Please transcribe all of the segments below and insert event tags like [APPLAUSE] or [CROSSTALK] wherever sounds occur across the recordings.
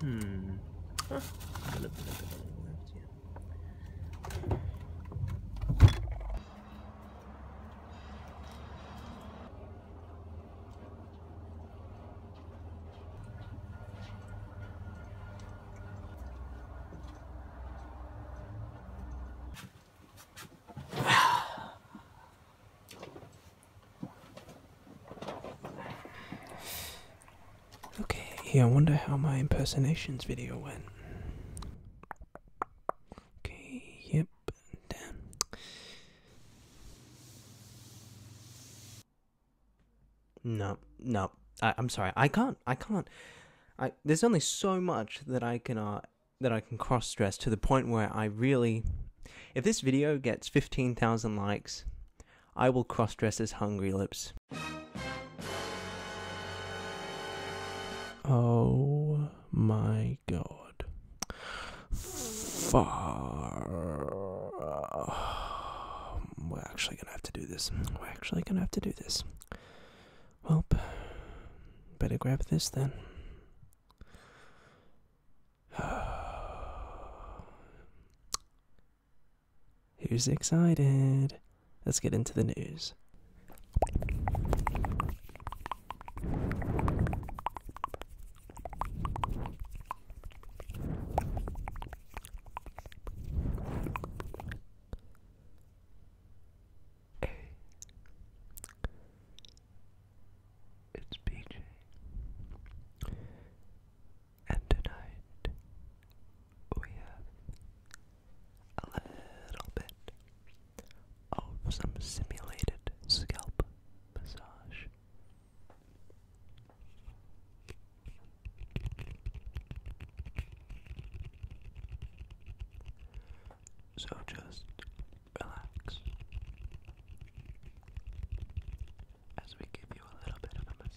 Hmm. Huh. Okay, I wonder how my impersonations video went. Okay, yep, damn. No, no, I, am sorry, I can't, I can't. there's only so much that I can uh, that I can cross dress to the point where I really if this video gets 15,000 likes, I will cross-dress as Hungry Lips. Oh my god. Far. We're actually gonna have to do this. We're actually gonna have to do this. Well, better grab this then. [SIGHS] Who's excited? Let's get into the news it's PJ. And tonight we have a little bit of some simulated scalp massage. So just relax as we give you a little bit of a massage.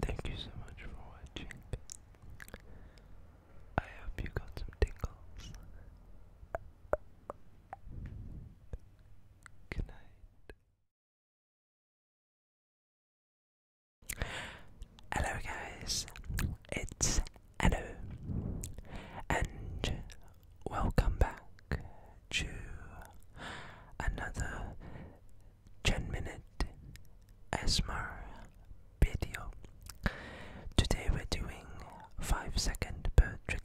Thank you so much for watching. I hope you got some tingles. Good night. Hello, guys. It's Hello, and welcome back to another 10 minute ASMR video. Today we're doing 5 second bird trigger.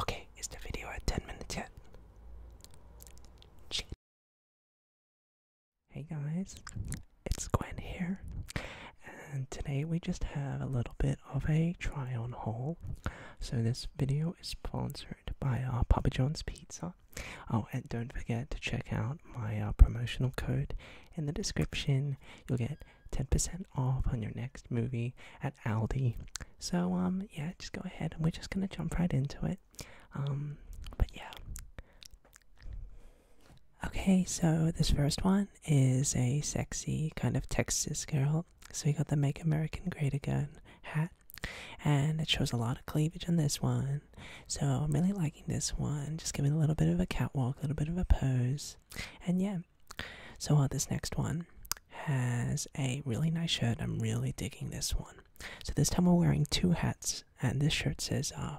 Okay, is the video at 10 minutes yet? Hey guys, it's Gwen here, and today we just have a little bit of a try on haul. So, this video is sponsored by uh, Papa John's Pizza. Oh, and don't forget to check out my uh, promotional code in the description. You'll get 10% off on your next movie at Aldi. So um yeah, just go ahead and we're just gonna jump right into it. Um but yeah. Okay, so this first one is a sexy kind of Texas girl. So we got the Make American Great Again hat. And it shows a lot of cleavage on this one. So I'm really liking this one. Just giving a little bit of a catwalk, a little bit of a pose. And yeah. So uh, this next one has a really nice shirt. I'm really digging this one. So this time we're wearing two hats, and this shirt says, uh,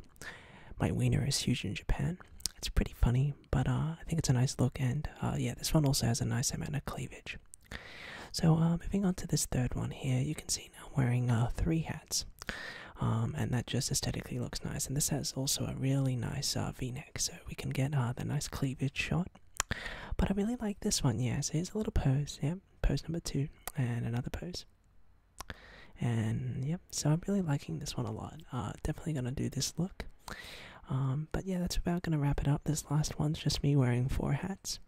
"My wiener is huge in Japan." It's pretty funny, but uh, I think it's a nice look, and uh, yeah, this one also has a nice amount of cleavage. So uh, moving on to this third one here, you can see now wearing uh, three hats. Um, and that just aesthetically looks nice. And this has also a really nice uh, V-neck, so we can get uh, the nice cleavage shot but I really like this one, yeah. So it's a little pose, yeah. Pose number two, and another pose. And yep, so I'm really liking this one a lot. Uh, definitely gonna do this look. Um, but yeah, that's about gonna wrap it up. This last one's just me wearing four hats.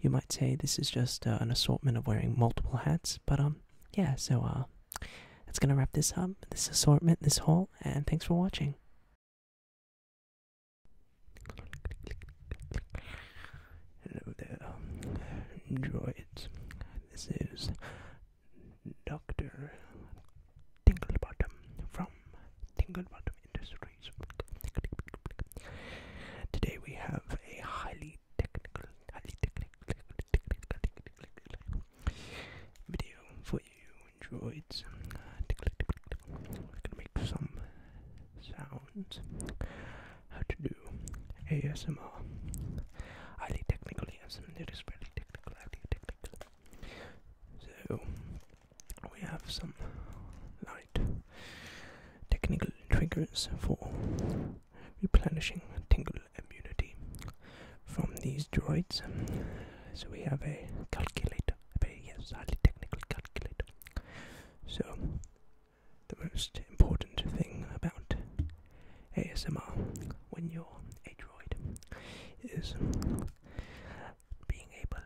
You might say this is just uh, an assortment of wearing multiple hats, but um, yeah. So uh, that's gonna wrap this up. This assortment, this haul, and thanks for watching. Hello there, Enjoy um, it. This is Dr. Tinglebottom from Tinglebottom Industries. Today we have a highly technical, highly technical, video for you what you enjoyed. Uh, I'm gonna make some sounds. How to do ASMR. Highly technical ASMR. It is really technical, highly technical. So we have some light technical triggers for replenishing tingle immunity from these droids. So we have a calculator yes, highly technically calculated. So, the most important thing about ASMR when you're a droid is being able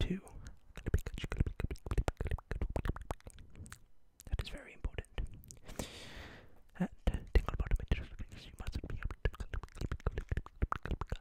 to. That is very important.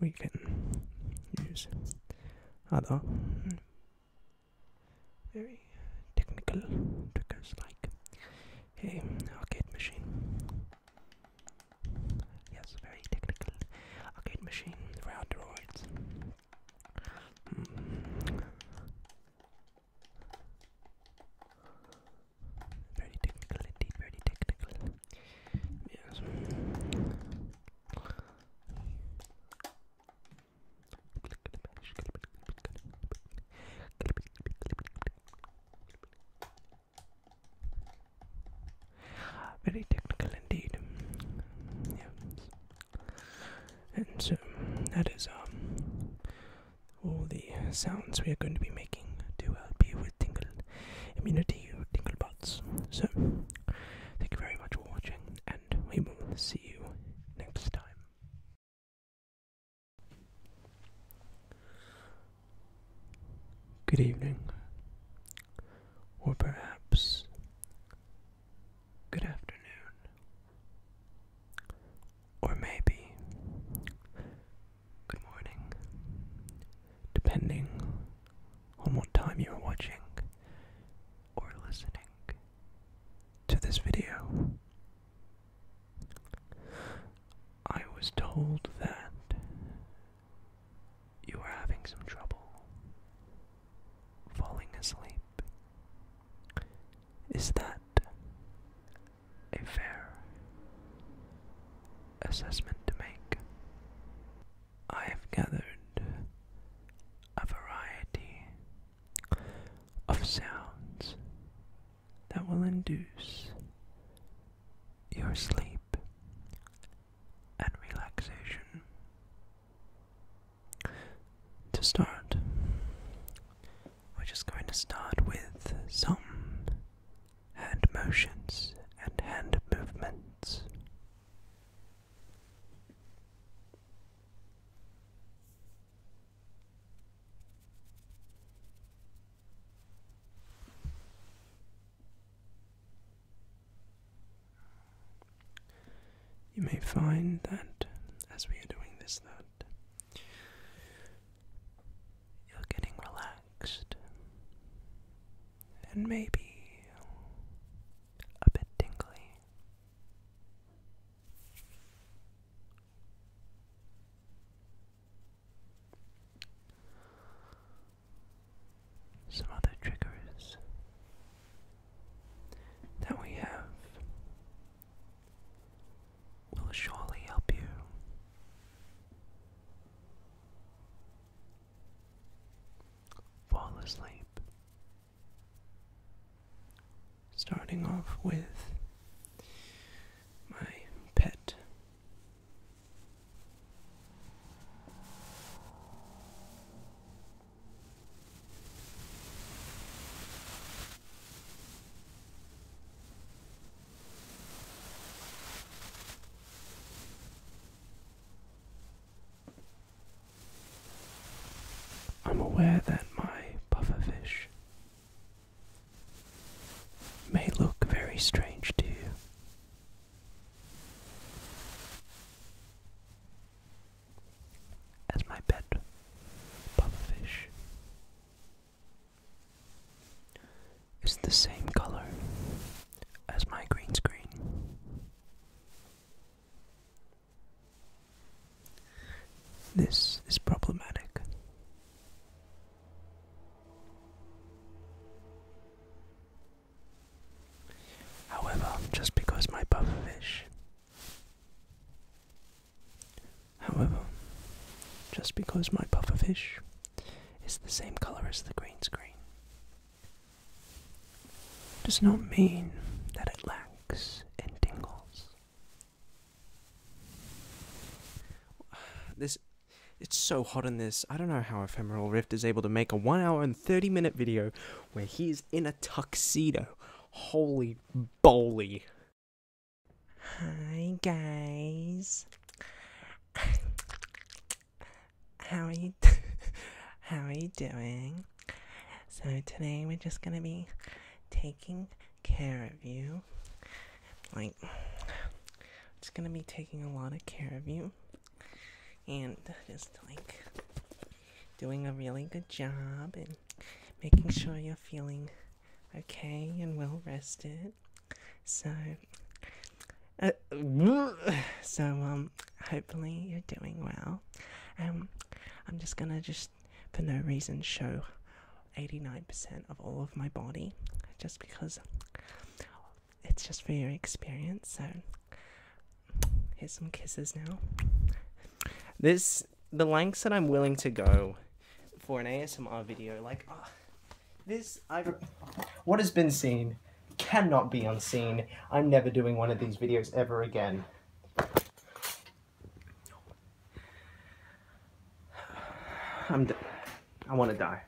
We can use other very technical triggers like a arcade machine. Yes, very technical arcade machine for very technical indeed, very technical. Yes. Very technical indeed. And so that is um, all the sounds we are going to be making to help uh, you with tingle immunity or tingle bots. So thank you very much for watching and we will see you next time. Good evening, or perhaps good afternoon. Or maybe good morning, depending on what time you're watching or listening to this video. I was told that you were having some trouble falling asleep. Is that a fair assessment to make? I have gathered a variety of sounds that will induce your sleep and relaxation. To start, we're just going to start with some hand motions and hand movements. You may find that as we are doing this, that you're getting relaxed and maybe a bit tingly some other triggers that we have will surely help you. Fall asleep. Starting off with my pet I'm aware that my pufferfish may look very strange to you as my pet pufferfish is the same color as my green screen. This is problematic. However, just because my pufferfish. However, just because my pufferfish is the same color as the green screen does not mean that it lacks in tingles. This it's so hot in this. I don't know how Ephemeral Rift is able to make a 1 hour and 30 minute video where he is in a tuxedo. Holy boly. Hi guys. How are you How are you doing? So today we're just going to be taking care of you. Like just going to be taking a lot of care of you and just like doing a really good job and making sure you're feeling okay and well rested. So, uh, [SIGHS] so um, hopefully you're doing well. Um, I'm just gonna just for no reason show 89% of all of my body just because it's just for your experience. So here's some kisses now. This the lengths that I'm willing to go for an ASMR video, like ah, this, I what has been seen cannot be unseen. I'm never doing one of these videos ever again. [SIGHS] I'm. I want to die.